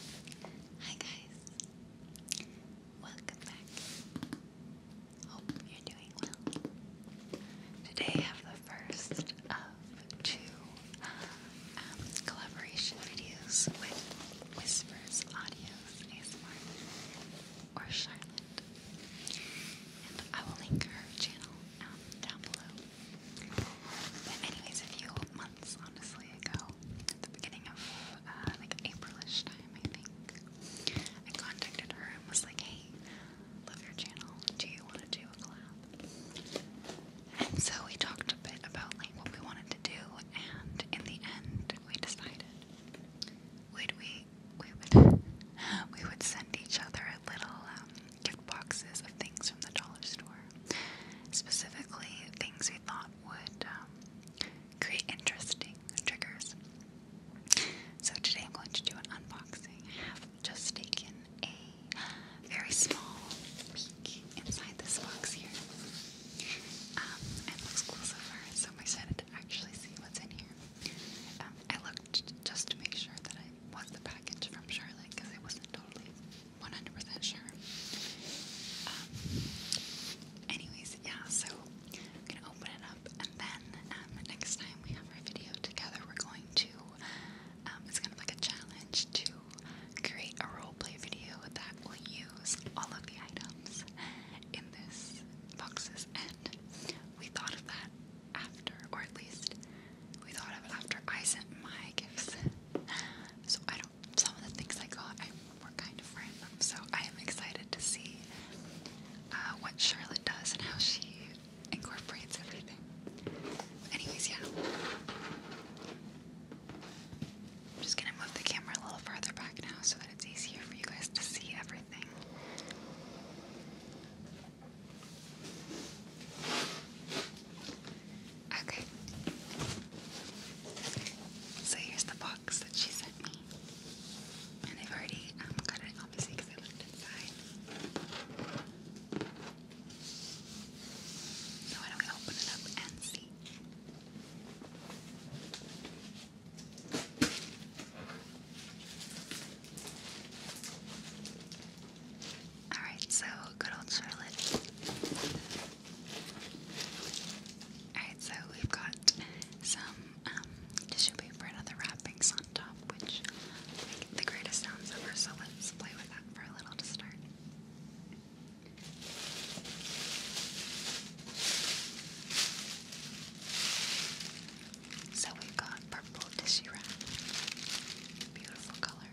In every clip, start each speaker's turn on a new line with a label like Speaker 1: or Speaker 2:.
Speaker 1: Hi guys, welcome back. Hope you're doing well. Today I have the first of two um, collaboration videos with Whispers Audios ASMR or Charlotte. And I will link her channel um, down below. But anyways, a few months honestly ago, at the beginning of uh, like Aprilish time, I think. I contacted her and was like, "Hey, love your channel. Do you want to do a collab?" And so we talked a bit about like what we wanted to do, and in the end, we decided would we we would we would send each other little um, gift boxes of things from the dollar store, specifically things we thought would um, create interesting triggers. So today I'm going to do an unboxing. I have just taken a very small peek inside this box here. Um, it looks cool so far. So I'm excited to actually see what's in here. Um, I looked just to make sure that it was the package from Charlotte because it wasn't totally 100% sure. Um, anyways, yeah, so I'm gonna open it up, and then um, next time we have our video together, we're going to, um, it's kind of like a challenge to create a roleplay video that will use all of the items in this boxes, and we thought of that after, or at least we thought of it after I sent my gifts. So I some of the things I got were kind of random, so I am excited to see uh, what Charlotte does and how she incorporates everything. Anyways, yeah. I'm just gonna move the camera a little further back now so that it's easier for you guys to see everything. Okay. So here's the box that she sent me. And I've already um, got it, obviously, because I looked inside. So why don't we open it up and see? Alright, so good old Charlotte Alright, so we've got some um, tissue paper and other wrappings on top, which make the greatest sounds ever, so let's play with that for a little to start. So we've got purple tissue wrap, beautiful color.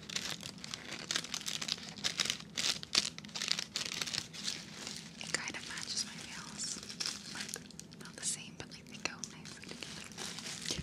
Speaker 1: It kind of matches my nails. Like, not the same, but like they go nicely together.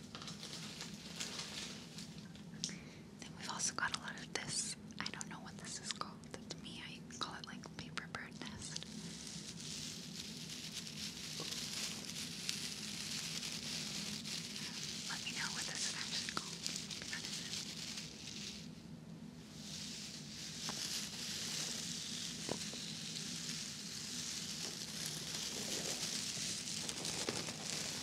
Speaker 1: Then we've also got a lot of this. I don't know what this is called. To me, I call it like paper bird nest. Let me know what this actually called.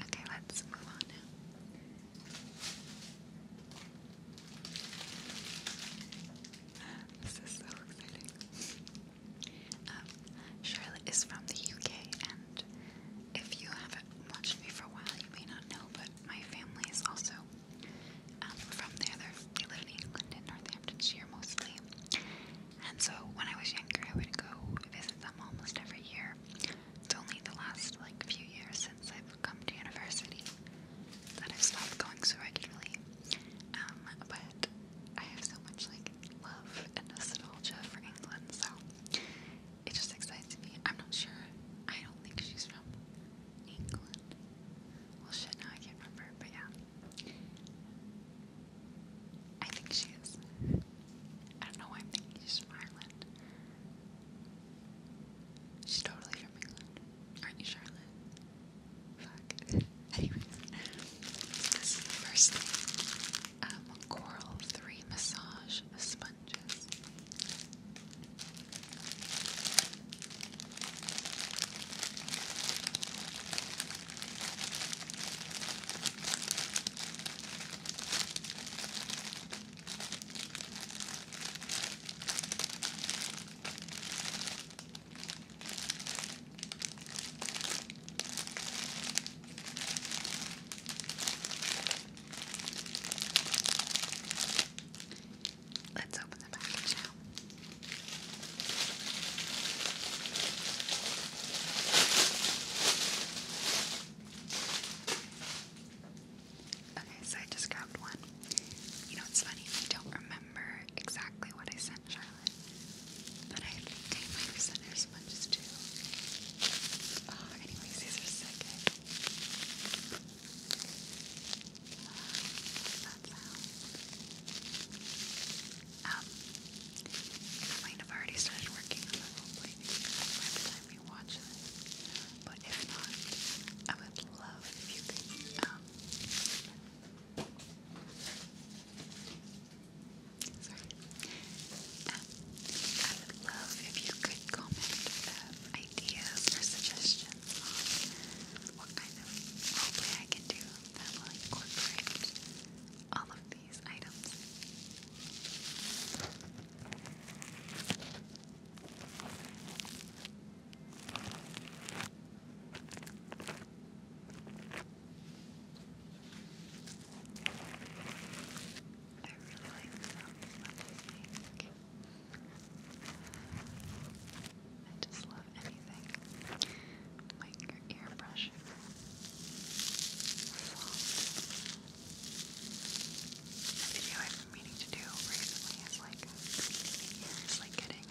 Speaker 1: Okay, let's move on now. Okay, um, Charlotte is from the UK, and if you haven't watched me for a while, you may not know, but my family is also um, from there. they live in England and Northamptonshire mostly. And so when I was younger, I would go visit them almost every year. It's only the last like few years since I've come to university that I've stopped going so regularly. Um, but I have so much like love and nostalgia for England, so it just excites me. I'm not sure. I don't think she's from England. Well, shit, now I can't remember, but yeah. I think she is. I don't know why I'm thinking she's from Ireland. She's totally from England. Aren't you, Charlotte? this is the first thing. Um, Coral 3 Massage Sponges. Let's open the package now. Okay, so I just grabbed one. You know, it's funny, I don't remember remember exactly what I sent Charlotte, but I think I sent her too. Oh, anyways, these are second. Eh? Uh, I um, might have already started working on the roleplay by the time you watch this, but if not, I would love if you could um, Sorry. I would love if you could comment um, ideas or suggestions on what kind of roleplay I can do that will incorporate all of these items. I really like the sound of I just love anything. Like your ear A video I've been meaning to do recently is like, ears like getting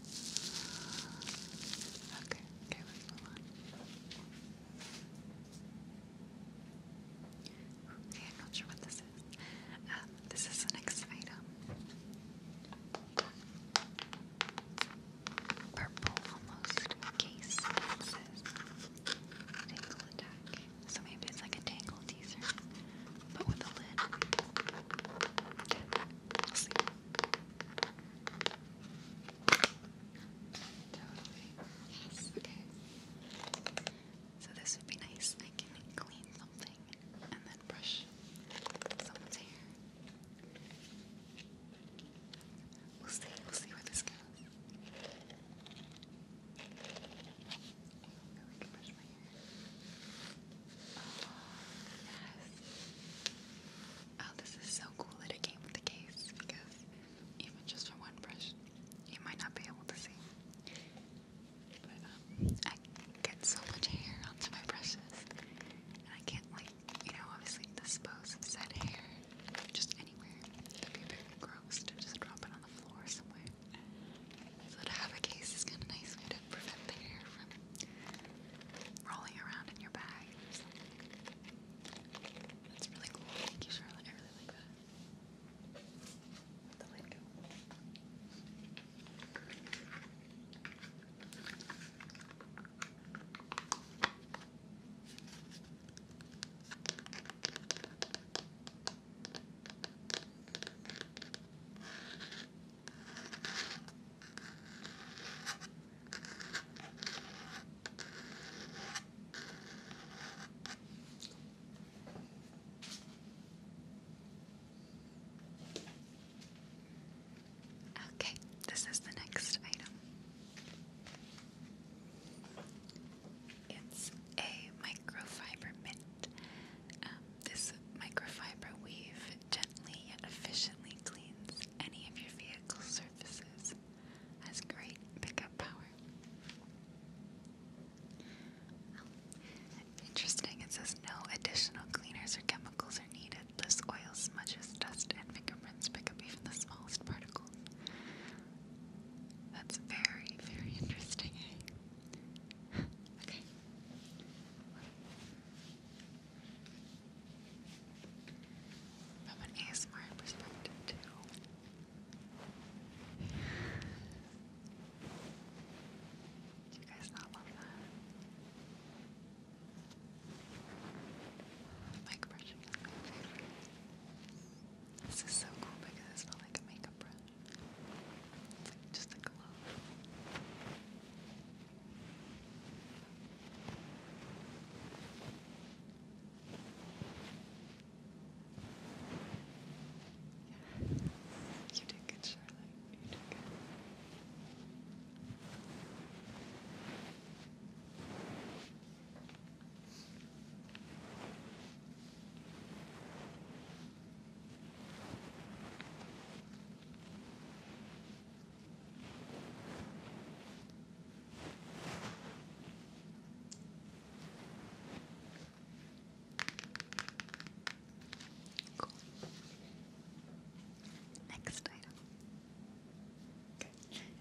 Speaker 1: Okay, okay, let's move on. Okay, I'm not sure what this is. Um, this is the next item. Purple almost case says Tangle Attack. So maybe it's like a Tangle teaser, but with a lid. We'll see. Totally. Yes. Okay. So this would be nice. I can clean something and then brush someone's hair. We'll see. We'll see where this goes. I can brush my hair yes. Oh, this is so cool that it came with the case because even just for one brush, you might not be able to see. But um, I get so much hair onto my brushes, and I can't like, you know, obviously dispose of said hair just anywhere. would be very gross to just drop it on the floor somewhere. So to have a case is kind of nice prevent the hair from rolling around in your bag or really cool. Thank you, Charlotte. I really like that. the light Okay, this is the next item. It's a microfiber mitt. Um, this microfiber weave gently yet efficiently cleans any of your vehicle surfaces. Has great pickup power. interesting, it says no additional cleaners or chemicals are needed. This oil smudges, dust, and fingerprints pick up even the smallest particles. That's very, very interesting. Eh? From an ASMR perspective, too. Do you guys not love that? Mic brushing This is so cool because it's not like a makeup brush. It's like just a glove. You did good, Charlotte. You did good. Cool. Next item. Okay.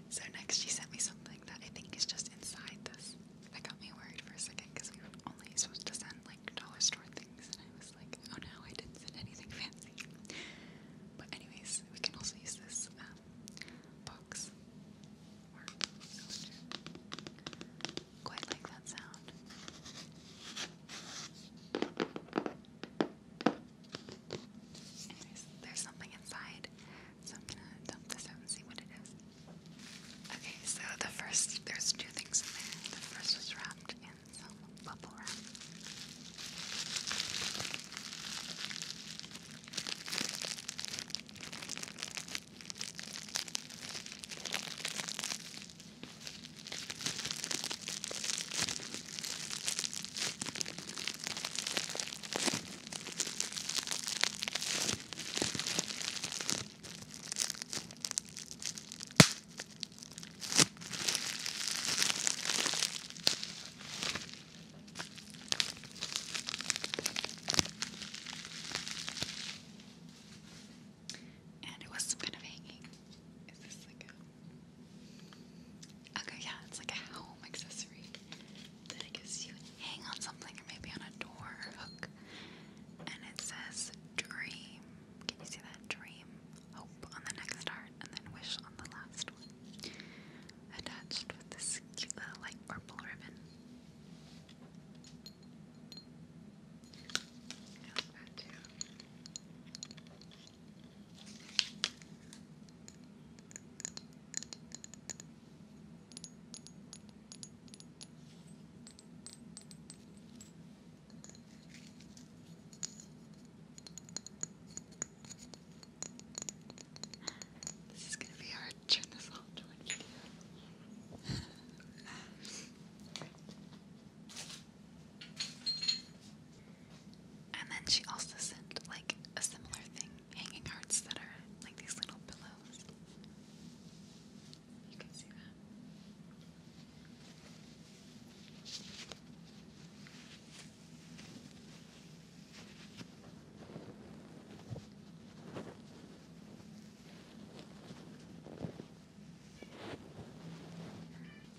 Speaker 1: So next she sent me something that I think is just inside this. That got me worried for a second because we were only supposed to send like dollar store things and I was like, oh no, I didn't send anything fancy. But anyways, we can also use this um, box Quite like that sound. Anyways, there's something inside, so I'm gonna dump this out and see what it is. Okay, so the first, there's two things in there. The first was wrapped in some bubble wrap. And it was kind of hanging. Is this like Okay, yeah, it's like a home accessory that I guess you hang on something or maybe on a door hook. And it says dream. Can you see that? Dream hope on the next heart, and then wish on the last one. Attached with this cute little light purple ribbon. This is gonna be hard to turn this all to and then she also sent like a similar thing, hanging hearts that are like these little pillows. You can see that.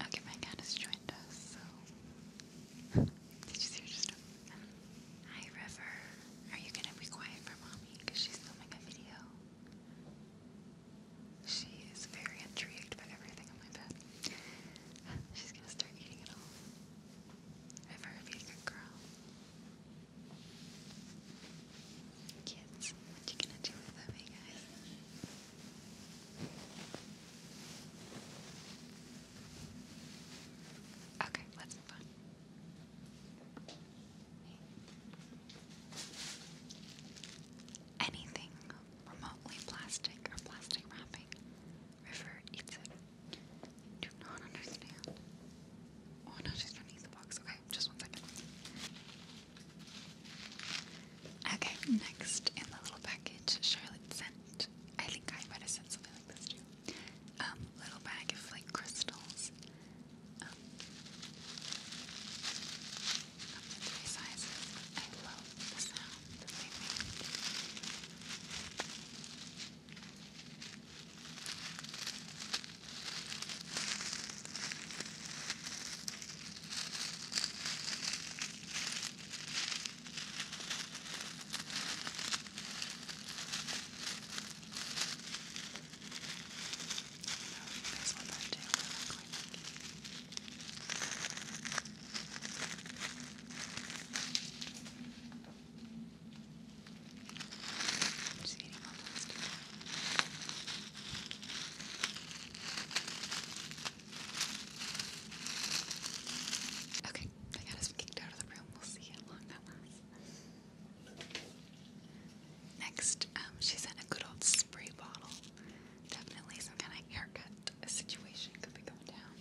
Speaker 1: Okay, my cat has joined us, so. Did you see her just? Hi, River. Are you gonna be quiet for mommy? Because she's filming a video. She is very intrigued by everything on my bed. She's gonna start eating it all. Ever a being a girl. Kids, what you gonna do without me, guys? Okay, let's move on. Anything remotely plastic or plastic wrapping. River eats it. Do not understand. Oh no, the box. Okay, just one second. Okay, next in the little package, Charlotte sent. I think I might have sent something like this too. Um, little bag of like crystals. Um, of the three sizes. I love the sound that they make. I know you guys will love to, but I'm going to keep. I Okay, I got us kicked out of the room. We'll see how long that lasts. Next, um, she sent a good old spray bottle. Definitely some kind of haircut situation could be going down.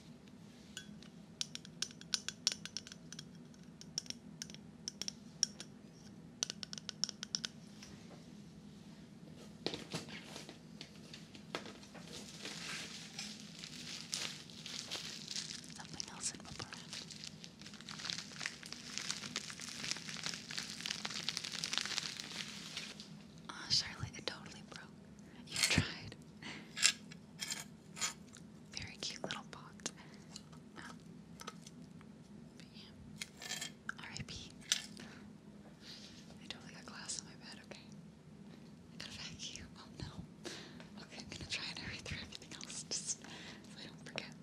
Speaker 1: Something else in bubble wrap. Ah, Charlotte, it totally broke. You tried. Very cute little pot. Um, totally got glass on my bed, okay? I gotta vacuum. Oh no. Okay, I'm gonna try and hurry through everything else just so I don't forget.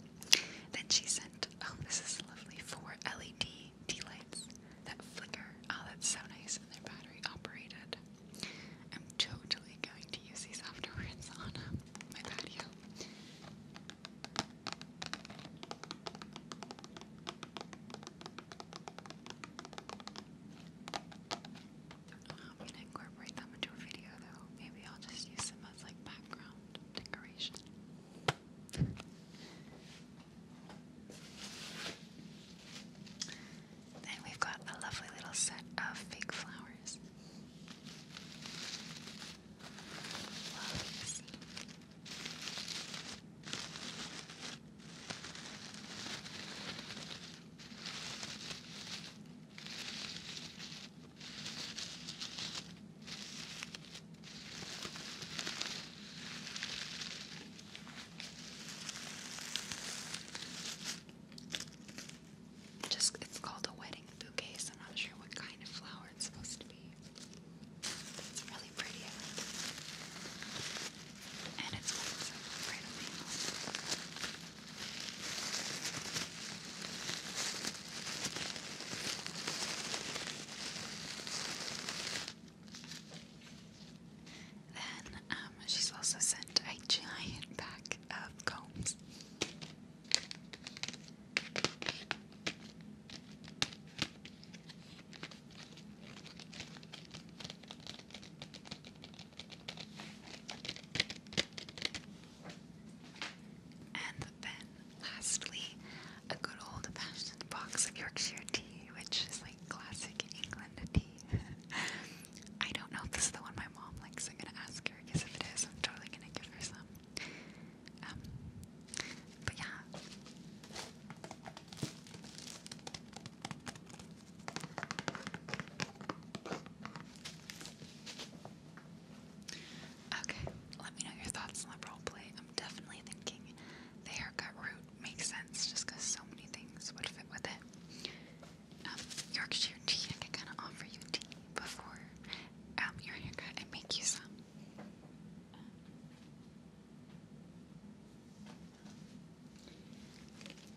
Speaker 1: Then she sent, oh, this is lovely, four LED tea that flicker. Oh, that's so nice, and they're battery operated. I'm totally going to use these afterwards on um, my patio. I'm going to incorporate them into a video though. Maybe I'll just use them as like background decoration. Then we've got a lovely little set of fake flowers. Just it's called a wedding bouquet, so I'm not sure what kind of flower it's supposed to be. it's really pretty, And it's white, so it's right on then um, she's also sent a giant pack of combs. And then, lastly, a good old fashioned box of Yorkshire tea, which is like classic England tea. I don't know if this is the one my mom likes. I'm gonna ask her because if it is, I'm totally gonna give her some. Um, but yeah. Okay, let me know your thoughts on the roleplay. I'm definitely thinking the haircut route makes sense just because so many things would fit with it. Um, Yorkshire tea, I could kind of offer you tea before um, your haircut and make you some. Uh,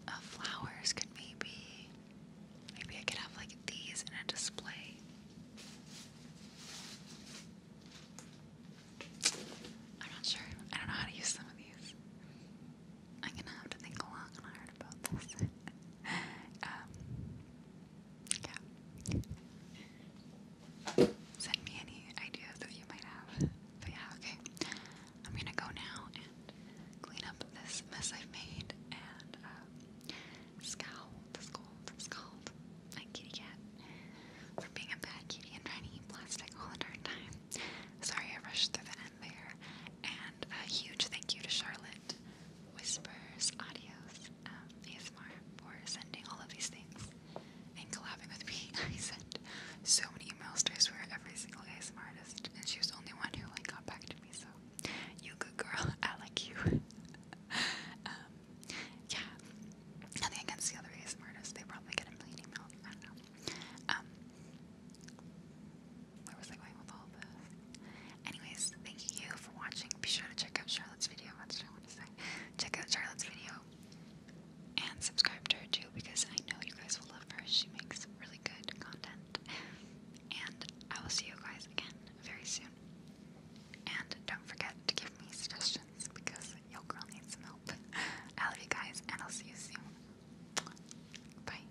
Speaker 1: uh, flowers could maybe, maybe I could have like these in a display. I'm not sure. I don't know how to use some of these. I'm gonna have to think long and hard about this. Um, yeah. Send me any ideas that you might have. But yeah, okay. I'm gonna go now and clean up this mess I've made and um, scowl, scold, scold, my kitty cat for being a bad kitty and trying plastic all the darn time. Sorry I rushed through the end there. And a huge thank you to Charlotte Whispers Audios um, ASMR for sending all of these things and collabing with me. I sent so many emails I swear every single ASMR artist, and she was the only one who like got back to me. So you good girl, I like you. Um, yeah, Nothing against the other ASM artists, they probably get a million emails. I don't know. Um, where was I going with all this? Anyways, thank you for watching. Be sure to check out Charlotte's video. That's I want to say. Check out Charlotte's video and subscribe to her too because I know you guys will love her. She makes really good content. And I will see you guys again very soon. And don't forget to give me suggestions because your girl needs some help. I love you guys, and I'll see you soon. Bye.